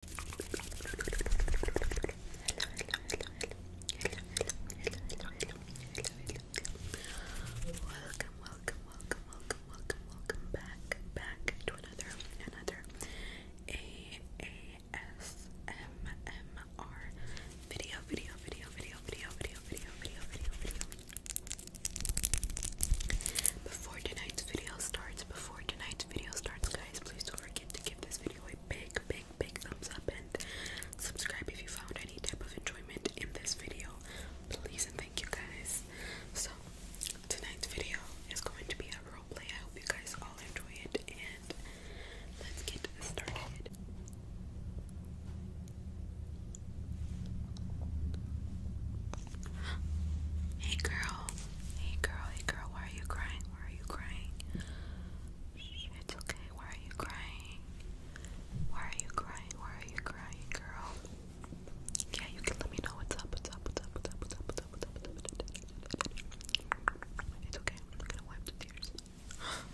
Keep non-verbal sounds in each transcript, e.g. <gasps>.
Welcome, welcome, welcome, welcome, welcome, welcome back, back to another, another AASMR video, video, video, video, video, video, video, video, video, Before tonight's video starts, before tonight's video starts, guys, please don't forget to give this video a big, big, big thumbs up and subscribe if you found any type of enjoyment in this video. Please and thank you, guys. So, tonight's video is going to be a role play. I hope you guys all enjoy it, and let's get started. Hey girl, Hey girl, hey girl, why are you crying? Why are you crying? It's okay, why are you crying? Why are you crying? Why are you crying, girl? Yeah, you can let me know what's up, what's up, what's up, what's up, what's up, what's up, what's up, what's up, what's up, what's up, what's up. It's okay, I'm gonna wipe the tears.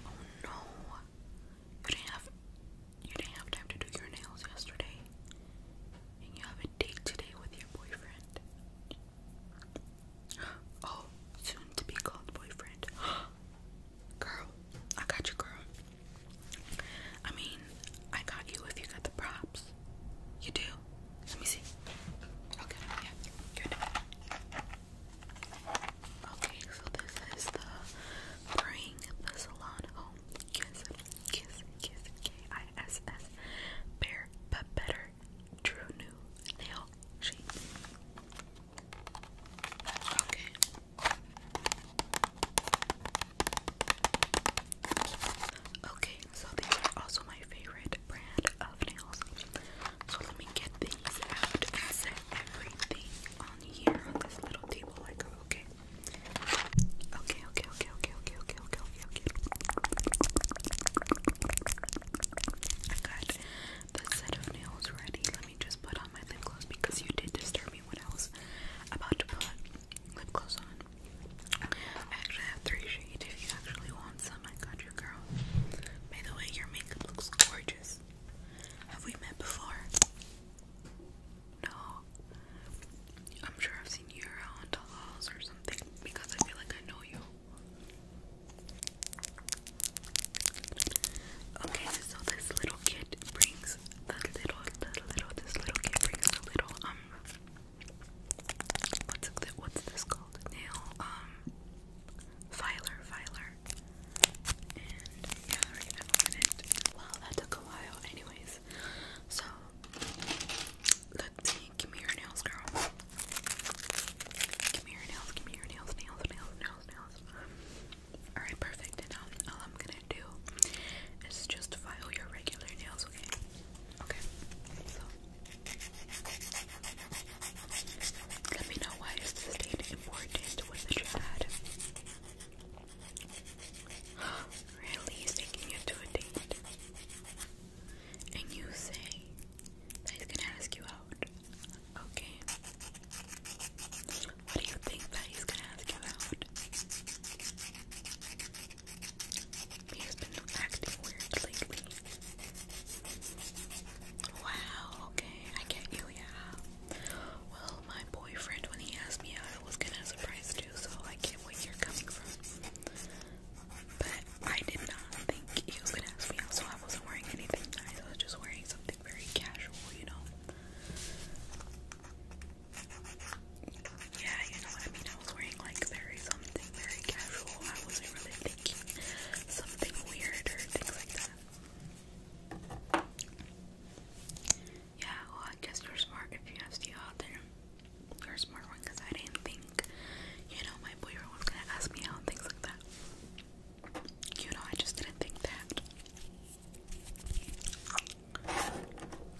Oh no. You didn't have you didn't have time to do your nails yesterday and you have a date today with your boyfriend. <gasps> Oh, soon to be called boyfriend. <gasps> Girl, I got you, girl. I mean, I got you if you got the props. You do? Let me see. Okay, yeah, good. Okay, so this is the bring the salon home Kiss Kiss K I S S Bear But Better True New Nail Sheet. Okay. Okay, so these are also my favorite brand of nails. So let me get these out and set everything on here on this little table like okay. Okay, okay, okay, okay, okay, okay, okay, okay, okay. I got that set of nails ready. Let me just put on my lip gloss because you did disturb me when I was about to put lip gloss on. I actually have three shades. If you actually want some, I got your girl. By the way, your makeup looks gorgeous. Have we met before? know. I'm sure I've seen you around Dallas or something because I feel like I know you. Okay, so this little kid brings the little, the little, this little kid brings the little, um, what's, it, what's this called? Nail, um, filer, filer. And yeah, I already opened it. Wow, that took a while. Anyways, so Let's see. Give me your nails, girl. Give me your nails. Give me your nails, nails, nails, nails, nails. Alright, perfect. And um, all I'm gonna do is just file your regular nails, okay? Okay. let me know why is this date important? What did you add? <gasps> Really taking you to a date. And you say that he's gonna ask you out. Okay. What do you think that he's gonna ask you out? He's been acting weird lately. Wow, okay, I get you, yeah. Well, my boyfriend, when he asked me out, I was gonna surprise so I get where you're coming from. But I did not think he was gonna ask me out, so I wasn't wearing anything nice. I was just wearing something very casual, you know? Yeah, you know I mean? I was wearing like very something very casual. I wasn't really thinking something weird or things like that. Yeah, well, I guess you're smart if you asked the other. You're a smart one because I didn't think, you know, my boyfriend was gonna ask me out and things like that. You know, I just didn't think that. Do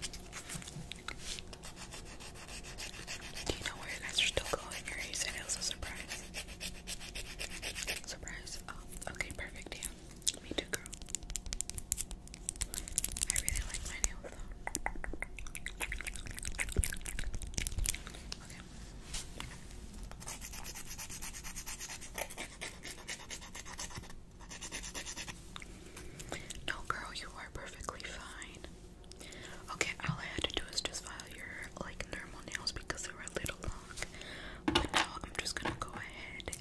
you know where you guys are still going? Or you said it was a surprise. Surprise? Oh, okay, perfect, yeah. Me too, girl. I really like my nails though. No, girl, you are perfectly fine. Okay, all I had to do is just file your like normal nails because they were a little long. But now I'm just gonna go ahead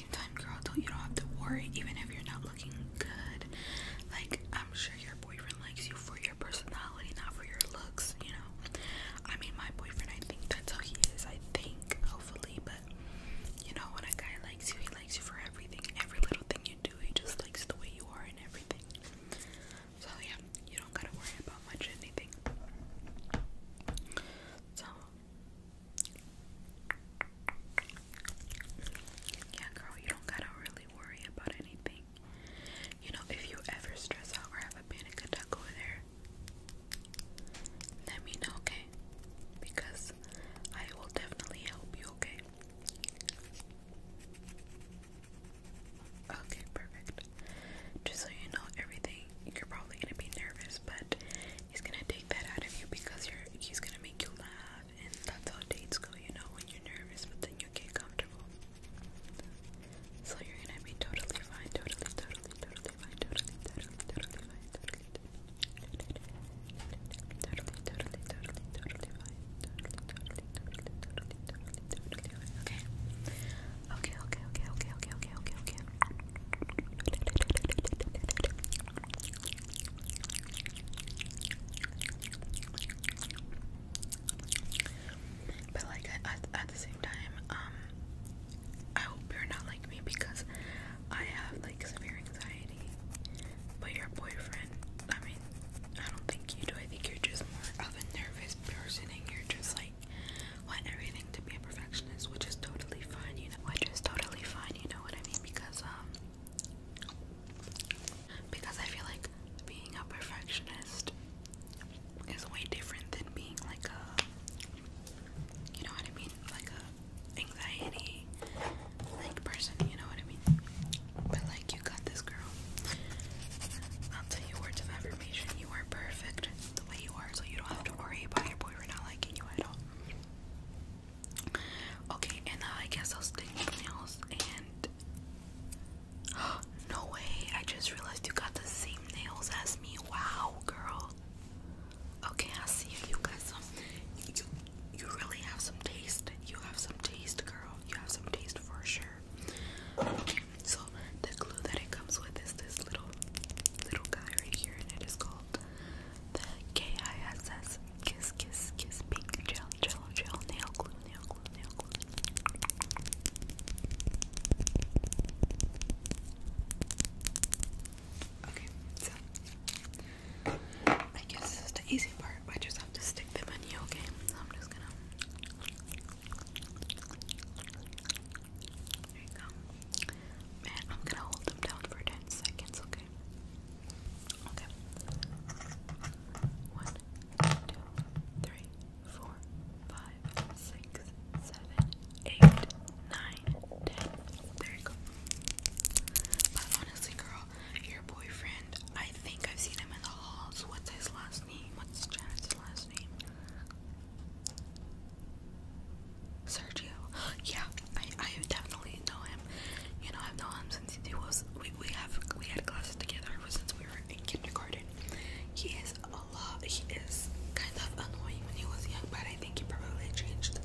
same time, girl, don't you don't have to worry, even if you're not looking good. Like, I'm sure your boyfriend likes you for your personality, not for your looks, you know. I mean, my boyfriend, I think that's how he is, I think, hopefully, but you know, when a guy likes you, he likes you for everything, every little thing you do, he just likes the way you are and everything. So, yeah, you don't gotta worry about much anything. So, yeah, girl, you don't gotta really worry about anything. You know, if you ever stress out or have a panic attack over there, let me know, okay? Because I will definitely help you, okay? Okay, perfect. Just so you know, everything you're probably gonna be nervous, but he's gonna take that out of you because you're he's gonna make you laugh and that's how dates go, you know, when you're nervous, but then you get comfortable. So you're gonna be totally fine, totally, totally, totally fine, totally, totally, totally fine, totally, totally, totally, totally, totally, totally fine, totally, totally, totally, totally, totally, totally fine. Okay. Okay. Okay. Okay. Okay. Okay. Okay. Okay. Okay. Okay. But like at, the same time, um, I hope you're not like me because I have like severe anxiety. But your boyfriend, I mean, I don't think you do. I think you're just more of a nervous person, and you're just like want everything to be a perfectionist, which is totally fine. You know, which is totally fine. You know what I mean? Because um, because I feel like being a perfectionist is way different than being like a you know what I mean like a anxiety like person you know what I mean but like you got this girl I'll tell you words of affirmation you are perfect the way you are so you don't have to worry about your boyfriend not liking you at all Okay, and I guess I'll stick my nails and <gasps> no way, I just realized you got the same nails as me. Wow, girl. Okay, I see you got some you you really have some taste. You have some taste, girl. You have some taste for sure. Okay, so the glue that it comes with is this little little guy right here and it is called called the KISS Kiss Kiss Kiss Pink Gel Gel Gel Nail Glue Nail Glue Nail Glue. Okay, so I guess this is the easy part. I just have to stick them in you, okay? So I'm just gonna. There you go. Man, I'm gonna hold them down for 10 seconds, okay? Okay. One, two, three, four, five, six, seven, eight, nine, ten. There you go. But honestly, girl, your boyfriend, I think I've seen him in the halls. What's his last name? What's Janet's last name? Sergio. Yeah, I I definitely know him. You know, I've known him since he was we we have we had classes together ever since we were in kindergarten. He is a lot. He is kind of annoying when he was young, but I think he probably changed.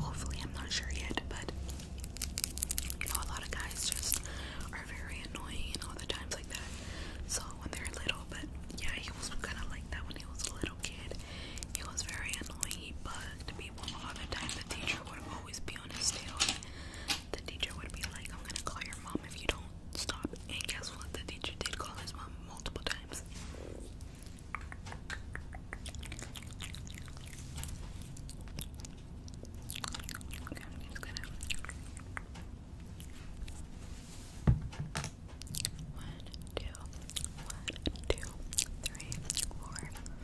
Hopefully, I'm not sure yet, but you know, a lot of guys just are very annoying and all the times like that. So when they're little, but yeah, he was kind of like that when he was a little kid. It was very annoying. but bugged people all the time. The teacher would always be on his tail. The teacher would be like, I'm gonna call your mom if you don't stop. And guess what? The teacher did call his mom multiple times. One, two, one, two, three, four,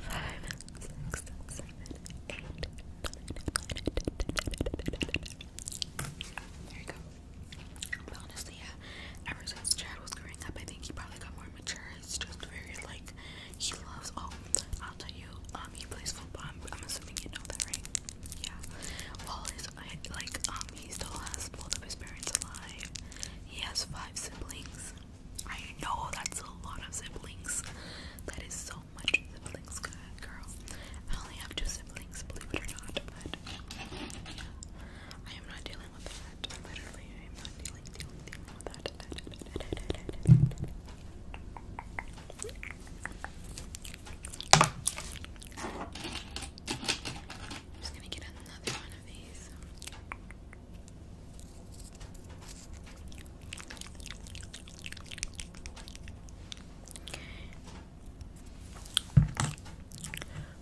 five, six, seven, eight, nine. There you go. honestly, yeah, ever since Chad was growing up, I think he probably got more mature. He's just very like he loves oh, I'll tell you, um he plays football. I'm, assuming you know that, right? Yeah like he still has both of his parents alive. He has five siblings. I know that's a lot of siblings. That is so much siblings, girl. I only have two siblings, believe it or not, but I am not dealing with that. Literally, I am not dealing, dealing, dealing with that. I'm just gonna get another one of these.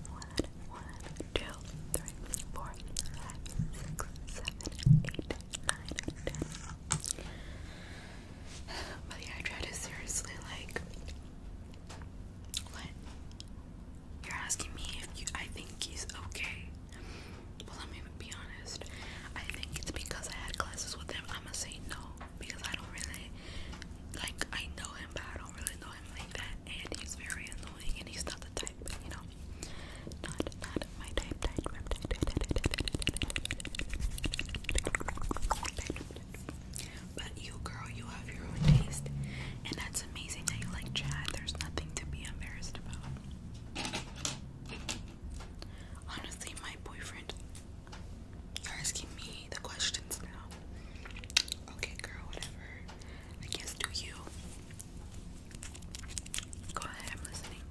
One, one, two, three, four, five, six, seven, eight, nine, ten. <sighs> But I try to seriously like what? You're asking me if I think he's okay. Well, let me be honest. I think it's because I had classes with him. I'm gonna say no because I don't really like. I know him, but I don't really know him like that. And he's very annoying, and he's not the type, you know, not not my type. But you, girl, you have your own taste, and that's amazing that you like Chad. There's nothing to be embarrassed about. Honestly, my boyfriend, you're asking me the questions now. Okay, girl, whatever. I guess do you? Go ahead, I'm listening.